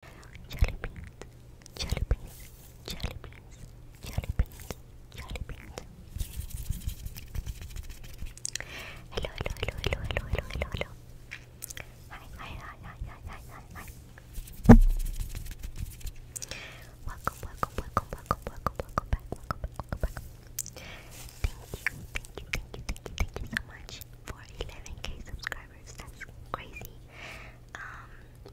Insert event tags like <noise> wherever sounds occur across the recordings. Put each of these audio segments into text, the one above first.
Hello, hello, hello, hello, hello, hello, hello, hello. hi, hi, hi, hi, hi, hi, hi. Welcome, welcome, welcome, welcome, welcome, welcome back, welcome back, welcome back. Thank you, thank you, thank you, thank you, thank you so much for 11k subscribers. That's crazy. Um,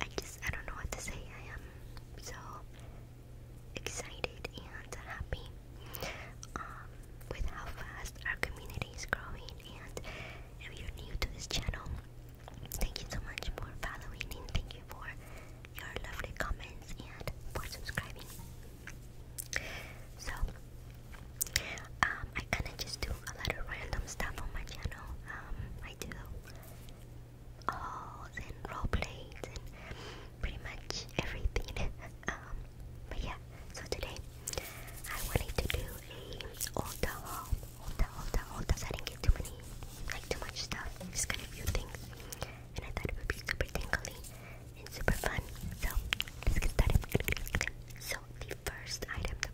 I just I don't know what to say. I am so excited and happy um, with how fast our community is growing. And if you're new to this channel, thank you so much for following and thank you for your lovely comments and for subscribing. So um, I kinda just do a lot of random stuff on my channel. Um, I do hauls and role plays and pretty much everything. <laughs> Um, but yeah, so today I wanted to do a old haul, old old old I didn't get too many, like too much stuff, just kind of few things. And I thought it would be super tingly and super fun. So let's get started. So the first item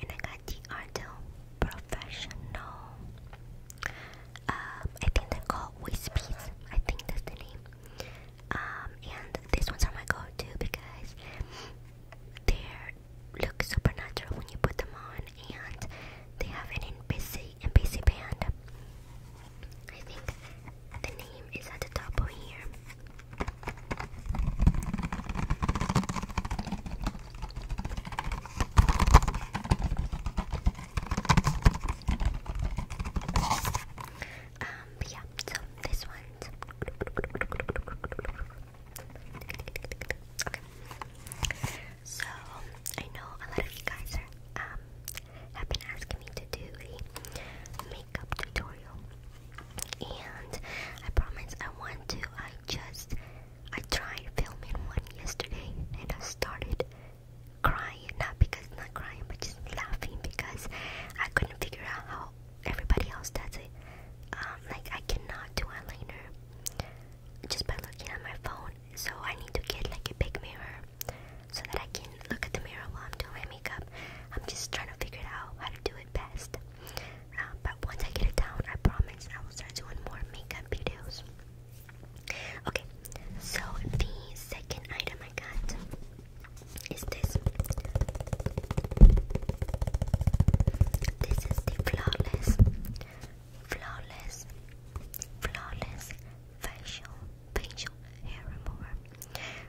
and I got the Ardell Professional. Um, I think they're called Wispies. I think that's the name. Um, and these ones are my go-to because they look super natural when you put them on, and they have an busy and busy band. I think the name is at the top of here. Um, but yeah, so this one's So I know a lot of you guys are um, have been asking me to do a makeup tutorial and I promise I want to. I just I tried filming one yesterday and I started crying not because i not crying but just laughing because I couldn't figure out how everybody else does it. Um, like I cannot do eyeliner just by looking at my phone, so I need to get like a big mirror so that I can look at the mirror while I'm doing my makeup. I'm just trying to figure out how to do it best but once I get it down, I promise I will start doing more makeup videos. Okay, so the second item I got is this. This is the flawless, flawless, flawless facial facial hair remover.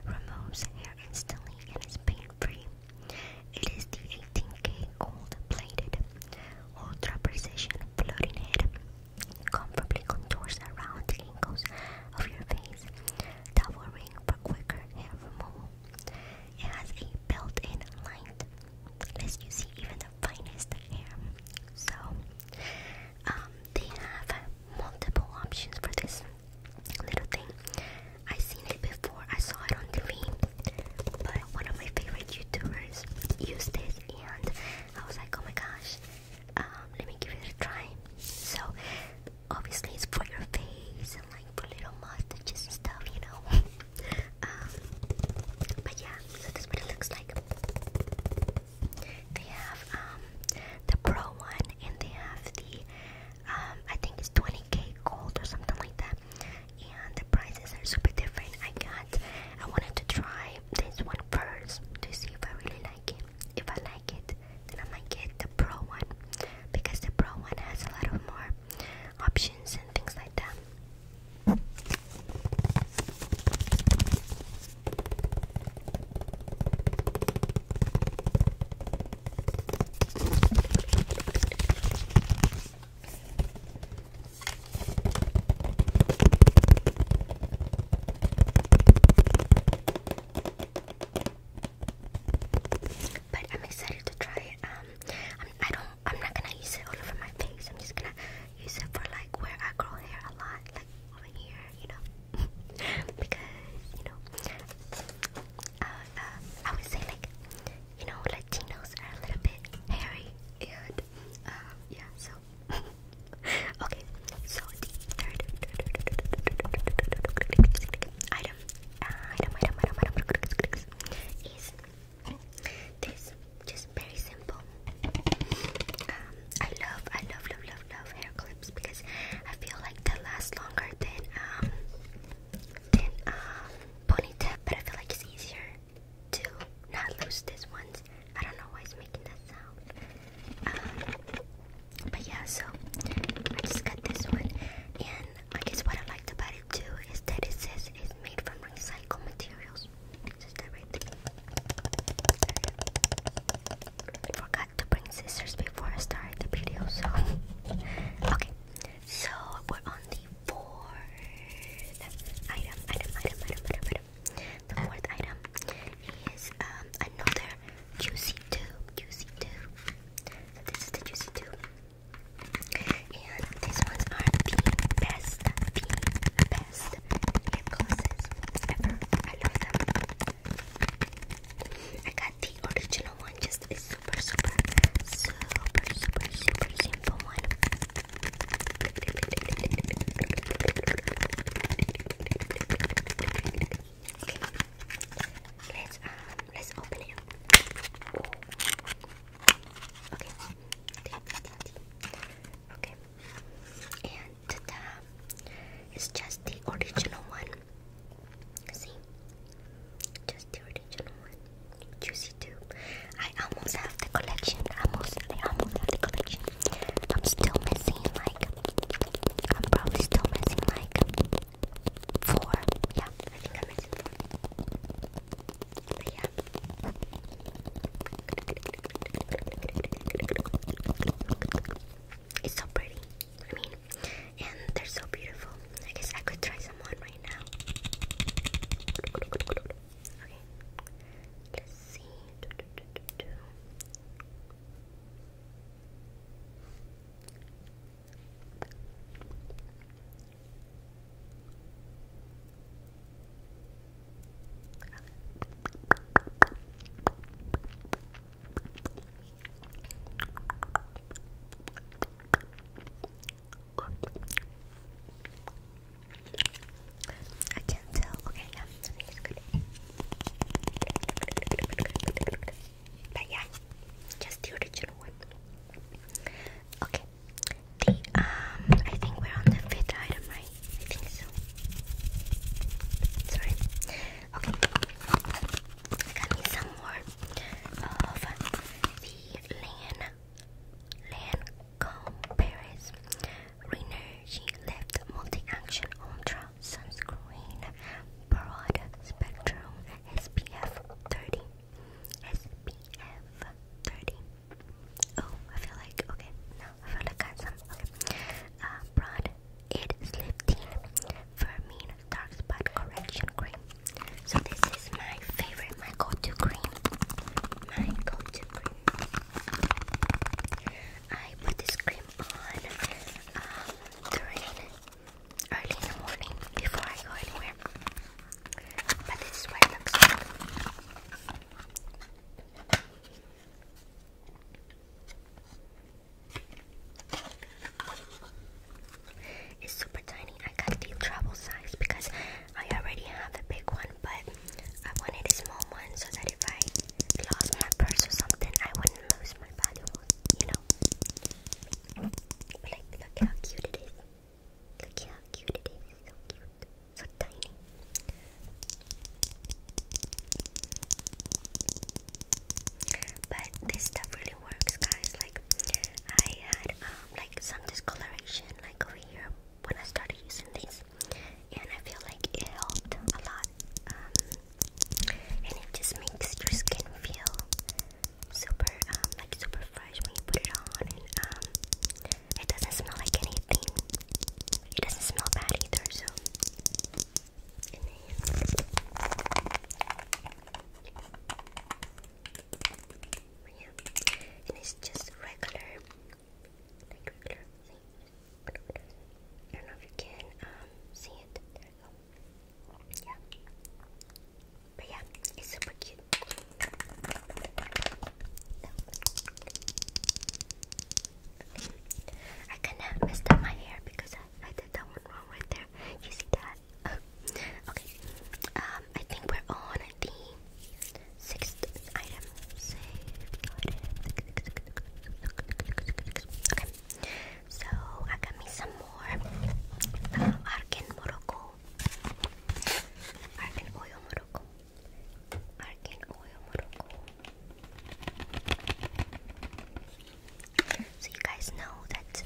Removes hair instantly and is pain-free. It is the 18K gold-plated ultra-precision floating head. Comfortably contours around the angles of your face, towering for quicker hair removal. It has a built-in light, lest you see even the finest hair. So, um, they have multiple options for this little thing. I seen it before. I saw it on TV, but one of my favorite YouTubers used this, and I was like, oh my gosh, um, let me give it a try. So obviously it's for your face and like for little mustaches and stuff, you know. <laughs> Um, but yeah, so that's what it looks like. They have um the pro one and they have the um, I think it's 20k gold or something like that. And the prices are super different. I got, I wanted to try this one first to see if I really like it. If I like it, then I might get the pro one because the pro one has a lot of more options and things like that. But I'm excited to try it. Um, I'm, I am I'm not gonna use it all over my face. I'm just gonna use it for like where I grow hair a lot, like over here, you know, <laughs> because you know I would say like, you know, Latinos are a little bit hairy and yeah, so okay, so third item, item, item, item, item is this, just very simple. I love, I love, love, love, love hair clips because I feel like they last longer than than um, uh, ponytail, but I feel like it's easier to not lose these ones. I don't know why it's making this sound. Um, but yeah, so I just got this one, and I guess what I liked about it too is that it says it's made from recycled materials. Just that forgot to bring scissors before I started the video, so <laughs> okay. So we're on the fourth item, item, item, item, item, item. The fourth item is um, another juicy tube, juicy tube. this is the juicy tube. And these ones are the best, the best lip glosses ever. I love them. I got the original one just this super, super, super, super, super simple one. Okay, let's um, let's open it. Okay, okay, and ta-da! It's just the original one. See? Just the original one. Juicy too. I almost have the collection. Almost I almost have the collection. I'm still missing like I'm probably still missing like four. Yeah, I think I'm missing four. But yeah. It's so pretty. I mean, and they're so beautiful. I guess I could try some on right now. Okay, let's see. I can Okay, yeah, good. But yeah, just the original one. Okay, the um, I think we're on the fifth item, right? I think so. Sorry. Okay, I got me some more of the Lancome Paris Renergy Lift Multi-Action Ultra Sunscreen Broad Spectrum SPF 30 SPF 30 Oh, I feel like, okay, no, I feel like I got some, uh, Broad it is Liptine Vermine Dark Spot Correction Cream. So this is my favorite, my go-to cream. My go-to cream. I put this cream on um, early in the morning before I go anywhere. But this is what it looks like. It's super tiny. I got the travel size because I already have a big one, but I wanted a small one so that if I lost my purse or something, I wouldn't lose my valuables, you know? But like, look how cute it is. Look how cute it is. So cute. So tiny. But this stuff really works, guys. Like I had um, like some discoloration like over here when I started using this, and I feel like it helped a lot. Um, and it just makes your skin feel super um, like super fresh when you put it on, and um, it doesn't smell like anything. It doesn't smell bad either, so and yeah, and it's just regular, like regular I don't know if you can um, see it. There we go. Yeah, but yeah, it's super cute. I kinda messed up my hair because I, I did that wrong right there. You see that? Oh, okay. Um, I think we're on the sixth item. Okay. So I got me some ah, more so you guys know that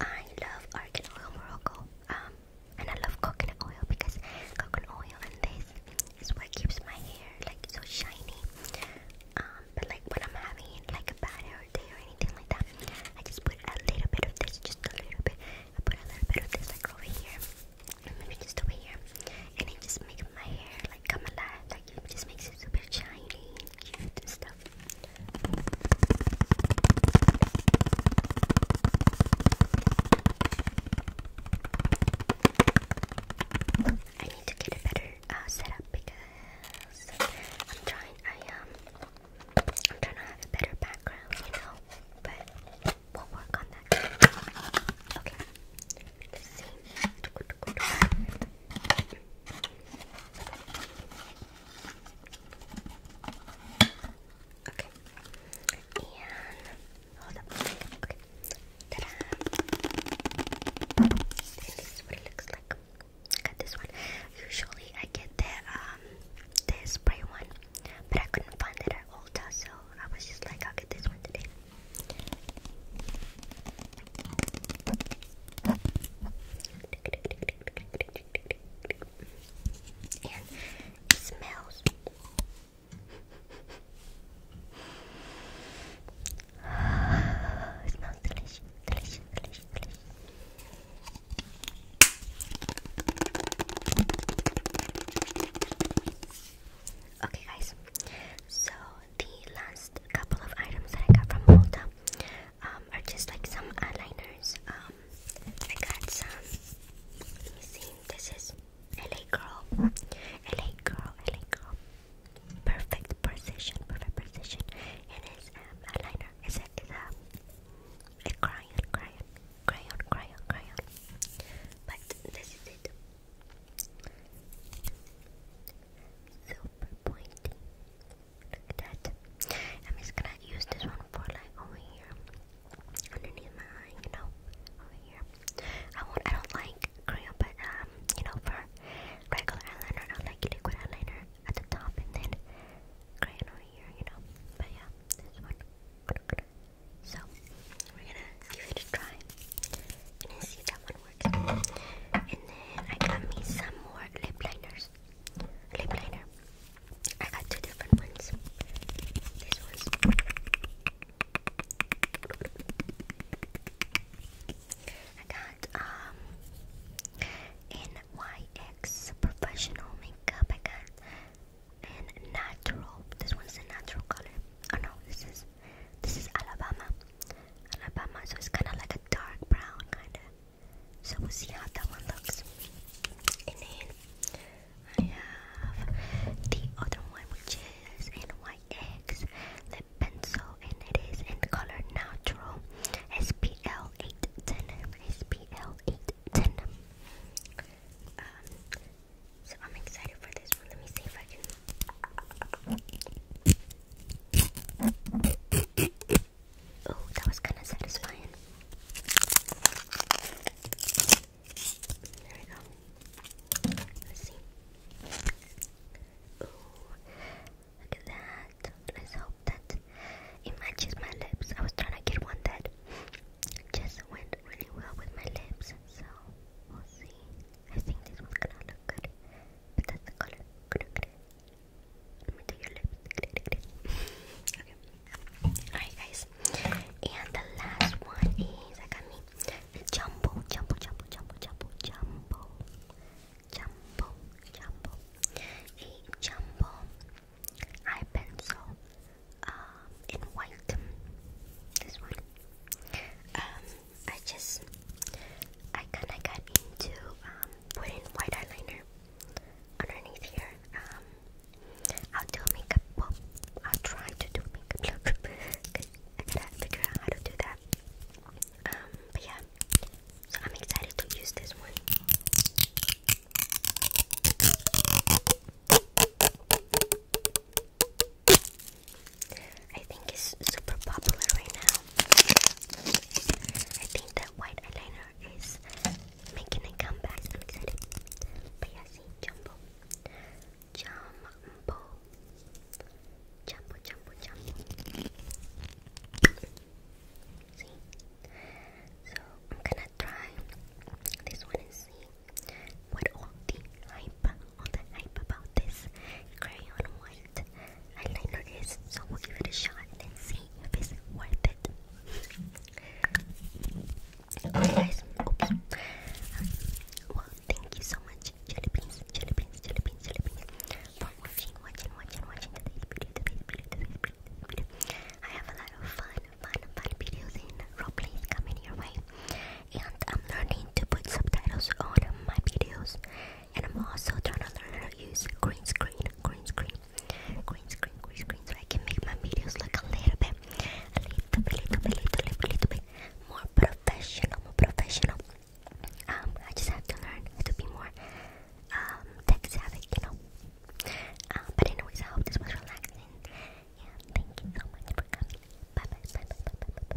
I love argan oil Morocco, um, and I love coconut oil because coconut oil and this is what keeps my hair like so shiny. Um, but like when I'm having like a bad hair day or anything like that, I just put a little bit of this, just a little bit. I put a little bit of this like over here, maybe just over here, and it just makes my hair like come alive. Like it just makes it super shiny cute I need to get a better uh, setup because I'm trying. I um, I'm trying to have a better background, you know. But we'll work on that. Okay. Okay. And hold up. Okay. okay. Ta-da! This is what it looks like. I got this one. Usually I get the um the spray one, but I couldn't find it at Ulta, so I was just like, I'll get this one today. And it smells. it smells delicious, delicious, delicious, delicious. Okay, guys. So the last couple of items that I got from Ulta um, are just like some eyeliners. Um, I got some. Let me see. This is LA Girl. LA Girl. LA Girl. Perfect precision. Perfect precision. It is um, eyeliner. it? Is a, a crayon, crayon, crayon, crayon, crayon. But this is it. Super pointy. Look at that. I'm just gonna use this one for like over here. Underneath my eye, you know. Over here. I want. I don't like cream, but um, you know, for regular eyeliner, I like liquid eyeliner at the top and then crayon over here, you know. But yeah, this one. So we're gonna give it a try. And see that one and then I got me some more lip liners. Lip liner. I got two different ones. This one's I got um NYX professional makeup. I got and natural. This one's a natural color. Oh no, this is this is Alabama. Alabama, so it's kind of like a dark brown, kind of. So we'll see how that one looks. And then I have the other one, which is NYX lip pencil, and it is in color Natural SPL 810. SPL 810. Um, so I'm excited for this one. Let me see if I can Oh, that was kind of satisfying. There we go. Let's see. Ooh, look at that. Let's hope that it matches my lips. I was trying to get one that just went really well with my lips, so we'll see. I think this one's gonna look good. But that's the color. Good, good. Let me do your lips. okay. Alright, guys. And the last one is I got me jumbo, jumbo, jumbo, jumbo, jumbo, jumbo, jumbo, jumbo, a jumbo eye pencil um, in white. This one. Um, I just I kind of got into um, putting white eyeliner underneath here. Um, I'll do makeup. Well, I'll try to do makeup <laughs> look. I gotta figure out how to do that. Um, but yeah, so I'm excited to use this one. I think it's super popular right now. I think that white eyeliner is making a comeback. I'm excited. But yeah, see, jumbo. Jumbo. Jumbo, jumbo, jumbo. See? So I'm gonna try this one and what all the hype, all the hype about this crayon was it. I like nuggets, so we'll give it a shot and see if it's worth it. well, thank you so much, jelly beans, jelly beans, jelly beans, jelly beans, for watching, watching, watching, watching today's video, today's video, today's video, today's video. I have a lot of fun, fun, fun videos in roleplays coming your way and I'm learning to put subtitles on my videos and I'm also trying to learn how to use green screen, green screen, green screen, green screen so I can make my videos look a little bit, a little bit, little bit, little bit, little bit more professional, more professional. Um, I just have to learn to be more um, tech savvy, you know. Um, but anyways, I hope this was relaxing. Yeah, thank you so much for coming. Bye bye, bye bye, bye bye, bye